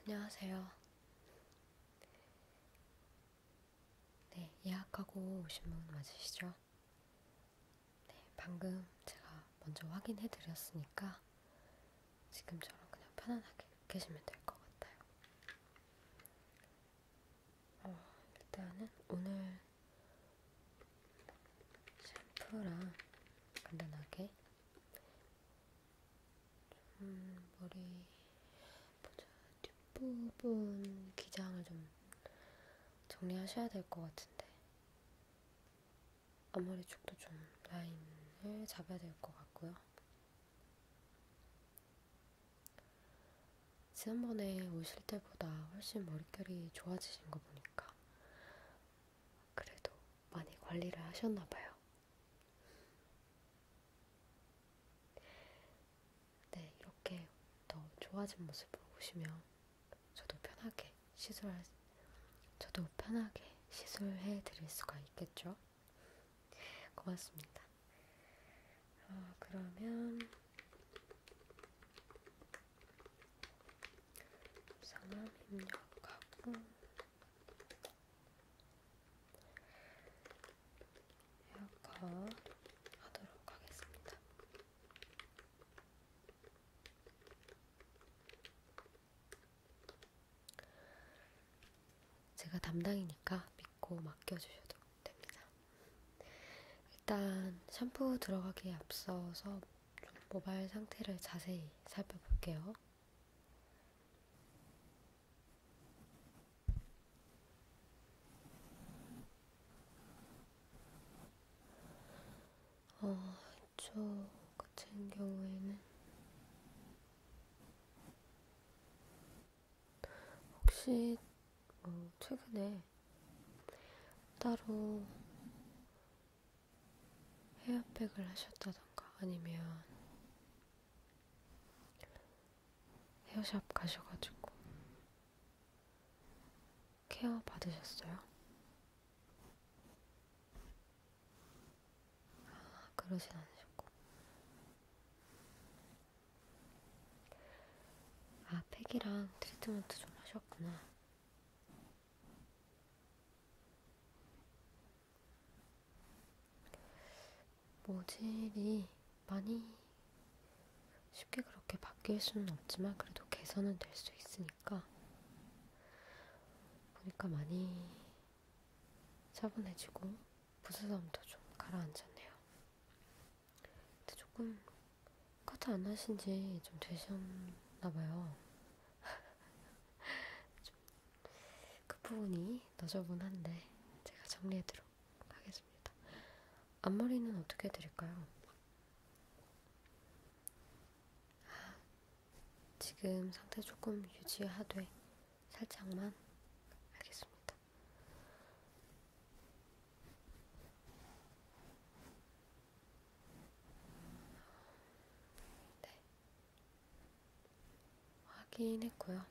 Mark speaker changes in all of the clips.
Speaker 1: 안녕하세요. 네, 예약하고 오신 분 맞으시죠? 네, 방금 제가 먼저 확인해 드렸으니까 지금처럼 그냥 편안하게 계시면 될 것 같아요. 어, 일단은 오늘 샴푸랑 간단하게 좀 머리 보자 뒷부분 기장을 좀 정리하셔야 될 것 같은데 앞머리 쪽도 좀 라인을 잡아야 될 것 같고요. 지난번에 오실 때보다 훨씬 머릿결이 좋아지신 거 보니까 그래도 많이 관리를 하셨나봐요. 네, 이렇게 더 좋아진 모습을 보시면 저도 편하게 시술, 저도 편하게 시술해 드릴 수가 있겠죠? 고맙습니다. 어, 그러면 상암 입력하고 에어컨 하도록 하겠습니다. 제가 담당이니까 믿고 맡겨주셔도 됩니다. 일단 샴푸 들어가기에 앞서서 모발 상태를 자세히 살펴볼게요. 어, 저 같은 경우에는 혹시 어, 최근에 따로 헤어팩을 하셨다던가 아니면 헤어샵 가셔가지고 케어 받으셨어요? 아, 그러진 않으셨고. 아, 팩이랑 트리트먼트 좀 하셨구나. 모질이 많이 쉽게 그렇게 바뀔 수는 없지만 그래도 개선은 될 수 있으니까 보니까 많이 차분해지고 부스럼도 좀 가라앉았네요. 근데 조금 커트 안 하신 지좀 되셨나봐요. 그 부분이 너저분한데 제가 정리해드리도록 하겠습니다. 앞머리는 어떻게 해드릴까요? 아, 지금 상태 조금 유지하되 살짝만 알겠습니다. 네. 확인했고요.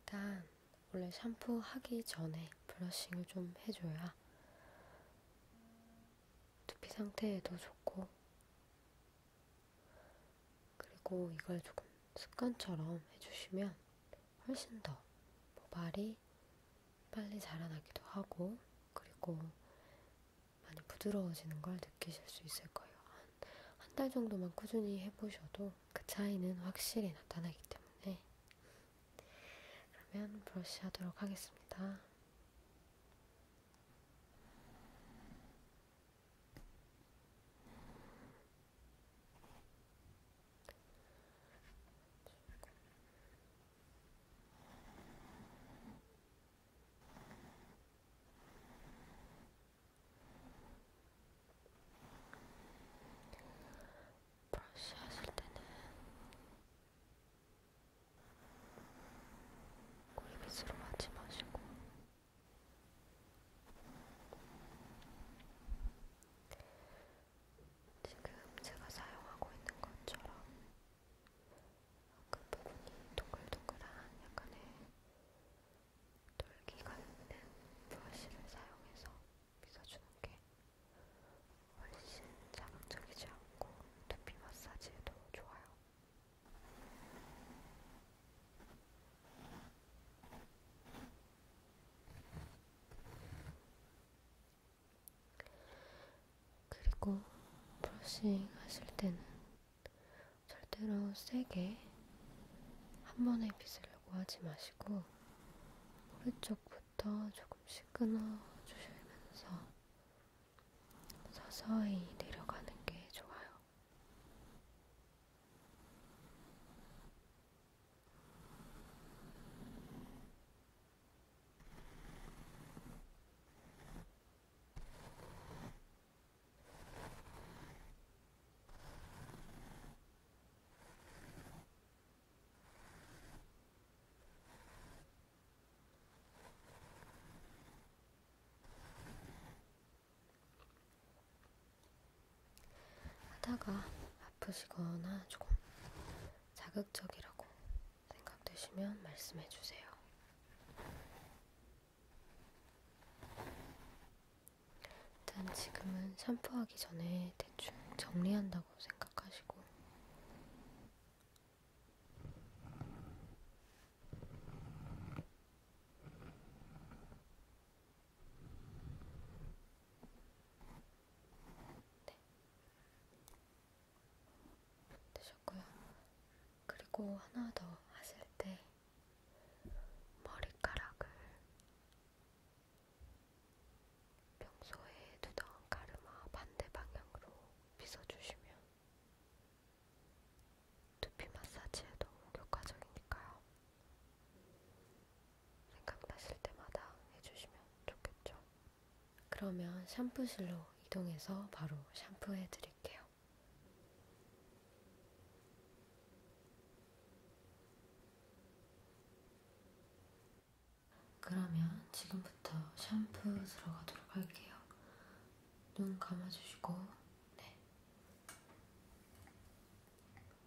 Speaker 1: 일단 원래 샴푸 하기 전에 브러싱을 좀 해줘야 두피 상태에도 좋고 그리고 이걸 조금 습관처럼 해주시면 훨씬 더 모발이 빨리 자라나기도 하고, 그리고 많이 부드러워지는 걸 느끼실 수 있을 거예요. 한달 한 정도만 꾸준히 해보셔도 그 차이는 확실히 나타나기 때문에. 그러면 브러쉬 하도록 하겠습니다. 브러쉬 하실 때는 고이빗으로 하지 마시고 지금 제가 사용하고 있는 것처럼 그 부분이 동글동글한 약간의 돌기가 있는 브러쉬를 사용해서 빗어주는 게 훨씬 자극적이지 않고 두피 마사지에도 좋아요. 그리고 브러싱 하실 때는 절대로 세게 한 번에 빗으려고 하지 마시고 오른쪽부터 조금씩 끊어주시면서 서서히 내려가는 게 좋아요. 하다가 아프시거나 조금 자극적이라고 생각되시면 말씀해 주세요. 일단 지금은 샴푸하기 전에 대충 정리한다고 생각하시고 네, 되셨고요. 그리고 하나 더 하실 때 머리카락을 평소에 두던 가르마 반대 방향으로 빗어주시면 두피 마사지에 너무 효과적이니까요. 생각나실 때마다 해주시면 좋겠죠. 그러면 샴푸실로 이동해서 바로 샴푸해 드릴게요. 그러면 지금부터 샴푸 들어가도록 할게요. 눈 감아주시고, 네.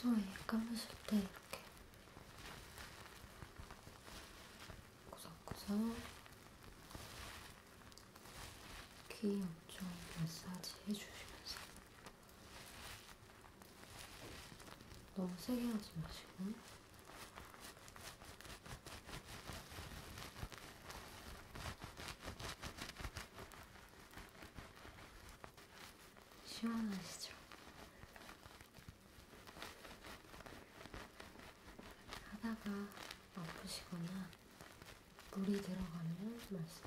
Speaker 1: 평소에 감으실 때 이렇게 구석구석 귀 엄청 마사지 해주시면서 너무 세게 하지 마시고 시원하시죠? 하다가 아프시거나 물이 들어가면 말씀해주세요.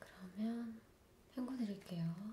Speaker 1: 그러면 헹궈 드릴게요.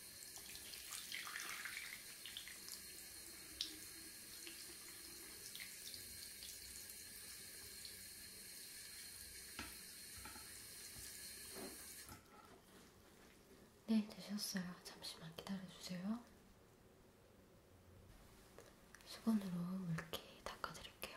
Speaker 1: 네, 되셨어요. 잠시만 기다려주세요. 수건으로 물기 닦아드릴게요.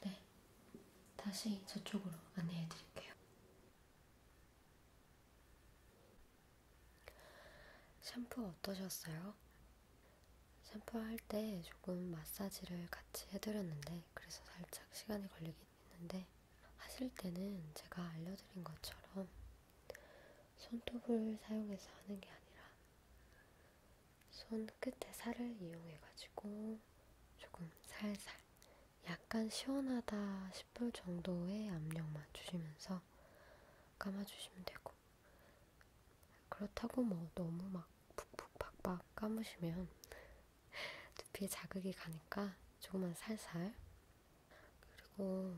Speaker 1: 네, 다시 저쪽으로 안내해 드릴게요. 샴푸 어떠셨어요? 샴푸할 때 조금 마사지를 같이 해드렸는데 그래서 살짝 시간이 걸리긴 했는데 하실 때는 제가 알려드린 것처럼 손톱을 사용해서 하는 게 아니라 손 끝에 살을 이용해가지고 조금 살살 약간 시원하다 싶을 정도의 압력만 주시면서 감아주시면 되고 그렇다고 뭐 너무 막 푹푹 박박 감으시면 두피에 자극이 가니까 조금만 살살. 그리고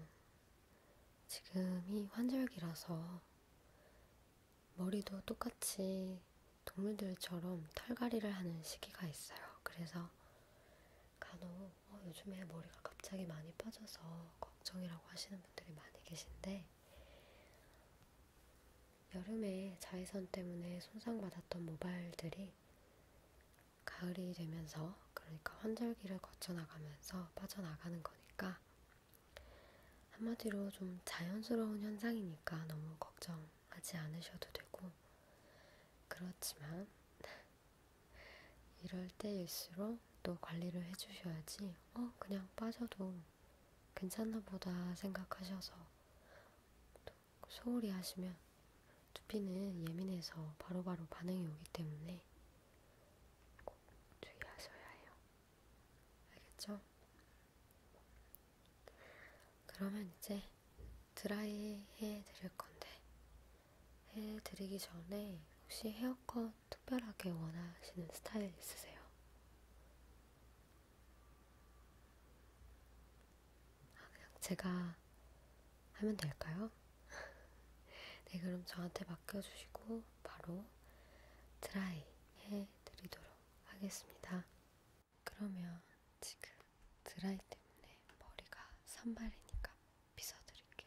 Speaker 1: 지금이 환절기라서 머리도 똑같이 동물들처럼 털갈이를 하는 시기가 있어요. 그래서 간혹 어, 요즘에 머리가 갑자기 많이 빠져서 걱정이라고 하시는 분들이 많이 계신데 여름에 자외선 때문에 손상받았던 모발들이 있는데 가을이 되면서 그러니까 환절기를 거쳐나가면서 빠져나가는 거니까 한마디로 좀 자연스러운 현상이니까 너무 걱정하지 않으셔도 되고 그렇지만 이럴 때일수록 또 관리를 해주셔야지 어 그냥 빠져도 괜찮나 보다 생각하셔서 또 소홀히 하시면 두피는 예민해서 바로바로 바로 반응이 오기 때문에 꼭 주의하셔야 해요. 알겠죠? 그러면 이제 드라이 해드릴 건데 해드리기 전에 혹시 헤어컷 특별하게 원하시는 스타일 있으세요? 아, 그냥 제가 하면 될까요? 네, 그럼 저한테 맡겨주시고 바로 드라이 해드리도록 하겠습니다. 그러면 지금 드라이 때문에 머리가 산발이니까 빗어드릴게요.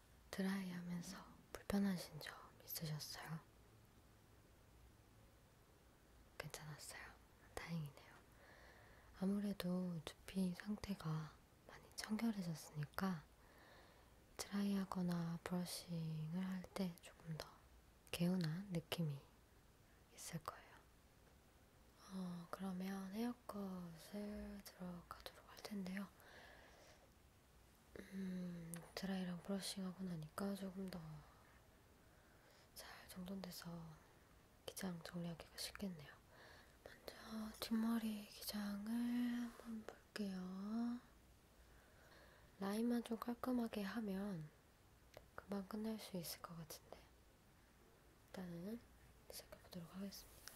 Speaker 1: 드라이하면서 불편하신 점 있으셨어요? 괜찮았어요? 다행이네요. 아무래도 두피 상태가 많이 청결해졌으니까 드라이하거나 브러싱을 할 때 조금 더 개운한 느낌이 있을 거예요. 어, 그러면 헤어컷을 들어가도록 할 텐데요. 보니까 음, 드라이랑 브러싱하고 나니까 조금 더 잘 정돈돼서 기장 정리하기가 쉽겠네요. 먼저 뒷머리 기장을 한번 볼게요. 라인만 좀 깔끔하게 하면 금방 끝낼 수 있을 것 같은데 일단은 시작해보도록 하겠습니다.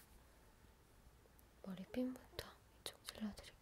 Speaker 1: 머리핀부터 이쪽 질러드릴게요.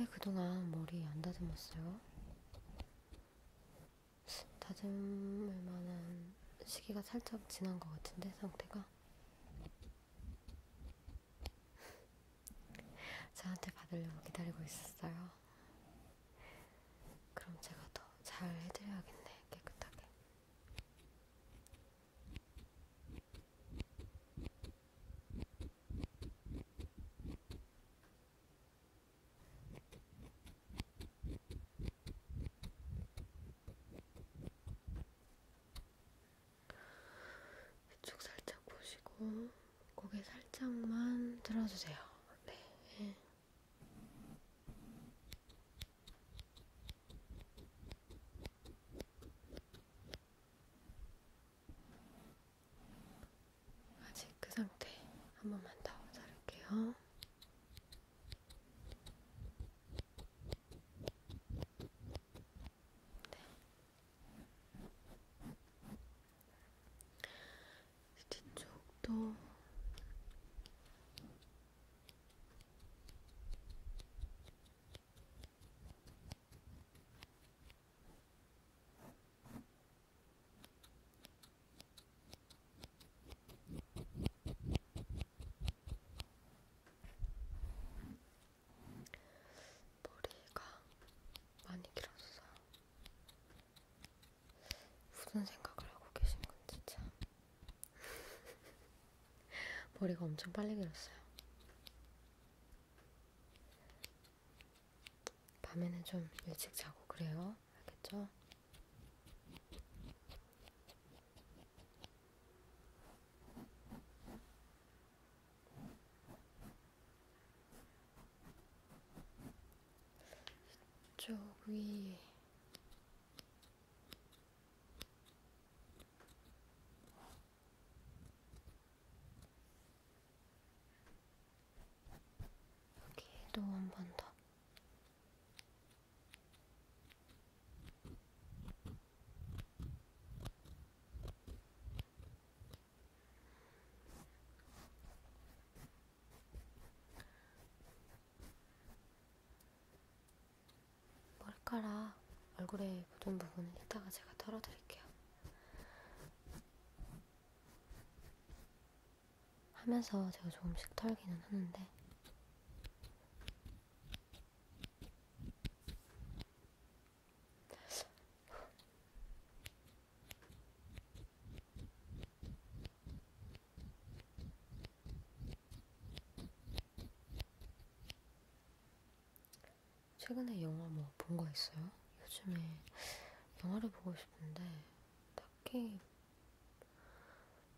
Speaker 1: 왜 그동안 머리 안 다듬었어요? 다듬을 만한 시기가 살짝 지난 것 같은데 상태가 저한테 받으려고 기다리고 있었어요. 그럼 제가 더 잘 해드려야겠네 깨끗하게. 이쪽 살짝 보시고 고개 살짝만 들어주세요. 네. 아직 그 상태 한 번만 더 자를게요. 네. 뒤쪽도 머리가 많이 길어서 무슨 생각을 하고 계신 건지 참 머리가 엄청 빨리 길었어요. 밤에는 좀 일찍 자고 그래요. 알겠죠? 이쪽 위에 여기도 한 번 더. 머리카락 얼굴에 묻은 부분은 이따가 제가 털어드릴게요. 하면서 제가 조금씩 털기는 하는데 최근에 영화 뭐 본 거 있어요? 요즘에 영화를 보고 싶은데 딱히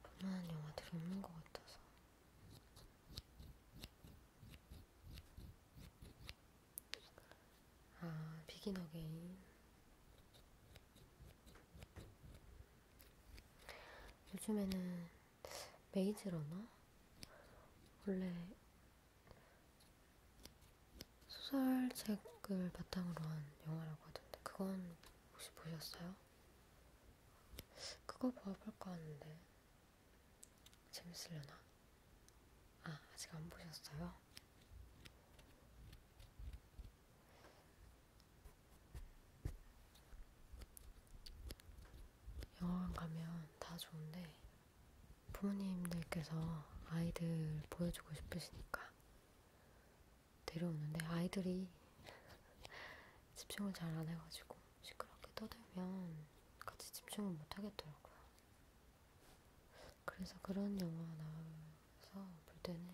Speaker 1: 볼만한 영화들이 없는 것 같아서 아 비긴 어게인 요즘에는 메이즈러나 원래 소설책을 바탕으로 한 영화라고 하던데 그건 혹시 보셨어요? 그거 봐볼까 하는데 재밌으려나? 아 아직 안 보셨어요? 영화관 가면 다 좋은데 부모님들께서 아이들 보여주고 싶으시니까 내려오는데 아이들이 집중을 잘 안 해가지고 시끄럽게 떠들면 같이 집중을 못 하겠더라고요. 그래서 그런 영화 나와서 볼 때는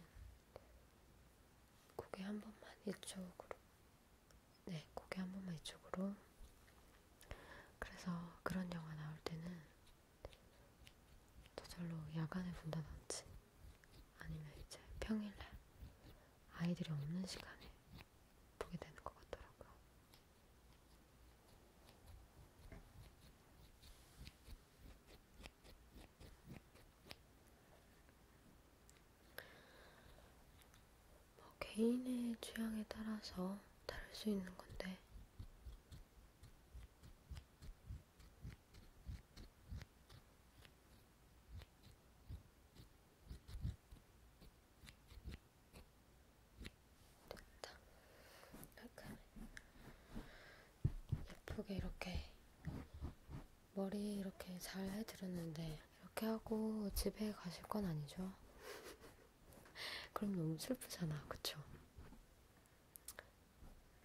Speaker 1: 고개 한 번만 이쪽으로, 네, 고개 한 번만 이쪽으로. 그래서 그런 영화 나올 때는 저절로 야간에 본다든지 아니면 이제 평일날 아이들이 없는 시간에 보게 되는 것 같더라고요. 뭐 개인의 취향에 따라서 다를 수 있는 건데 됐다. 약간 예쁘게 이렇게 머리 이렇게 잘 해드렸는데 이렇게 하고 집에 가실 건 아니죠? 그럼 너무 슬프잖아, 그쵸?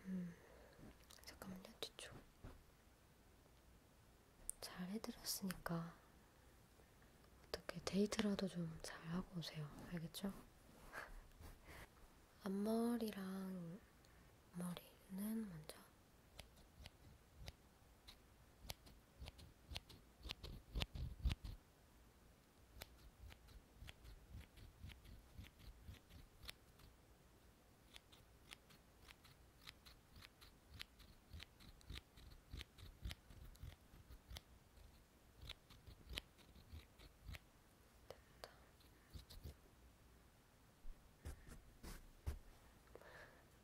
Speaker 1: 음, 잠깐만요, 뒤쪽. 잘 해드렸으니까 어떻게 데이트라도 좀 잘 하고 오세요. 알겠죠? 앞머리랑 머리는 먼저. 됐다.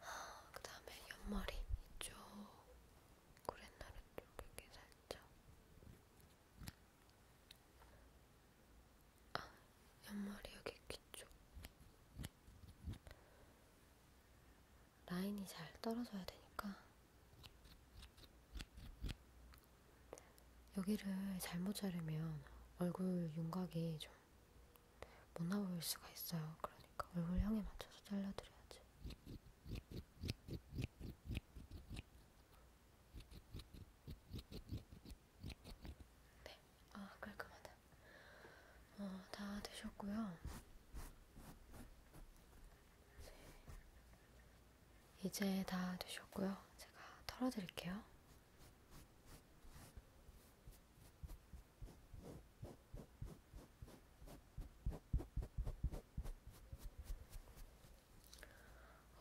Speaker 1: 아, 그 다음에 옆머리 이쪽, 고랫나루 쪽에 살짝 아, 옆머리 여기 귀쪽. 라인이 잘 떨어져야 되니까 여기를 잘못 자르면 얼굴 윤곽이 좀 못 나올 수가 있어요. 그러니까 얼굴형에 맞춰서 잘라드려야지. 네, 아 깔끔하다. 어, 다 되셨고요. 네. 이제 다 되셨고요. 제가 털어드릴게요.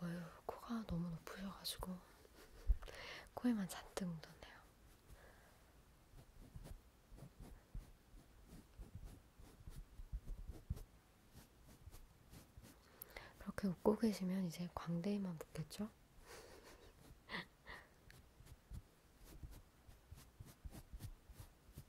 Speaker 1: 어휴, 코가 너무 높으셔가지고 코에만 잔뜩 묻었네요. 그렇게 웃고 계시면 이제 광대에만 묻겠죠?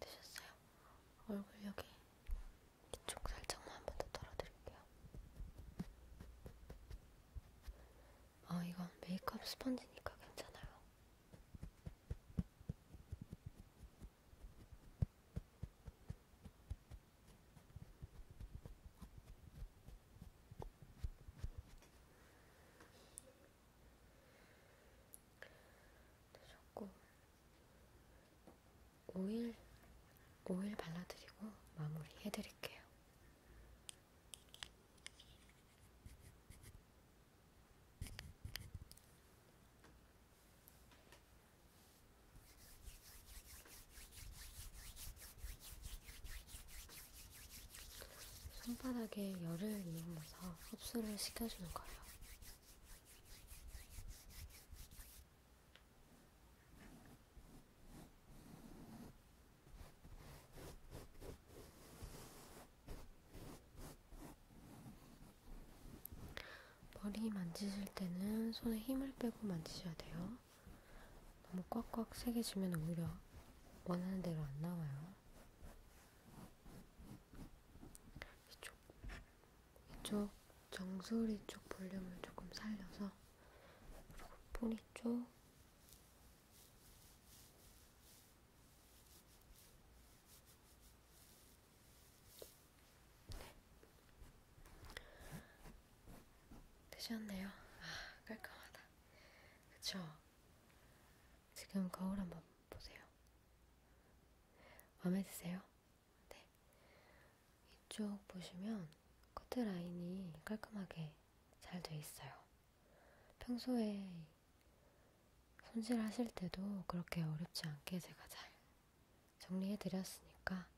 Speaker 1: 되셨어요? 얼굴 여기 이쪽 살짝만 한 번더 털어드릴게요. 어, 아, 이건 메이크업 스펀지니까 괜찮아요. 되셨고 오일 오일 발라드리고 마무리 해드릴게요. 손바닥에 열을 이용해서 흡수를 시켜주는 거예요. 머리 만지실 때는 손에 힘을 빼고 만지셔야 돼요. 너무 꽉꽉 세게 주면 오히려 원하는 대로 안 나와요. 이쪽, 이쪽 정수리 쪽 볼륨을 조금 살려서 그리고 뿌리 쪽 네. 되셨네요. 아, 깔끔하다. 그쵸? 지금 거울 한번 보세요. 마음에 드세요? 네. 이쪽 보시면 커트 라인이 깔끔하게 잘 돼 있어요. 평소에 손질하실 때도 그렇게 어렵지 않게 제가 잘 정리해드렸으니까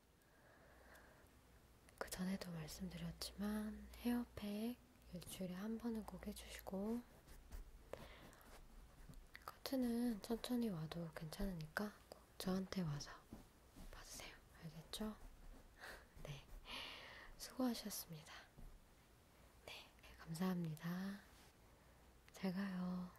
Speaker 1: 그 전에도 말씀드렸지만 헤어팩 일주일에 한 번은 꼭 해주시고 커트는 천천히 와도 괜찮으니까 꼭 저한테 와서 봐주세요. 알겠죠? 네, 수고하셨습니다. 네, 네 감사합니다. 잘 가요.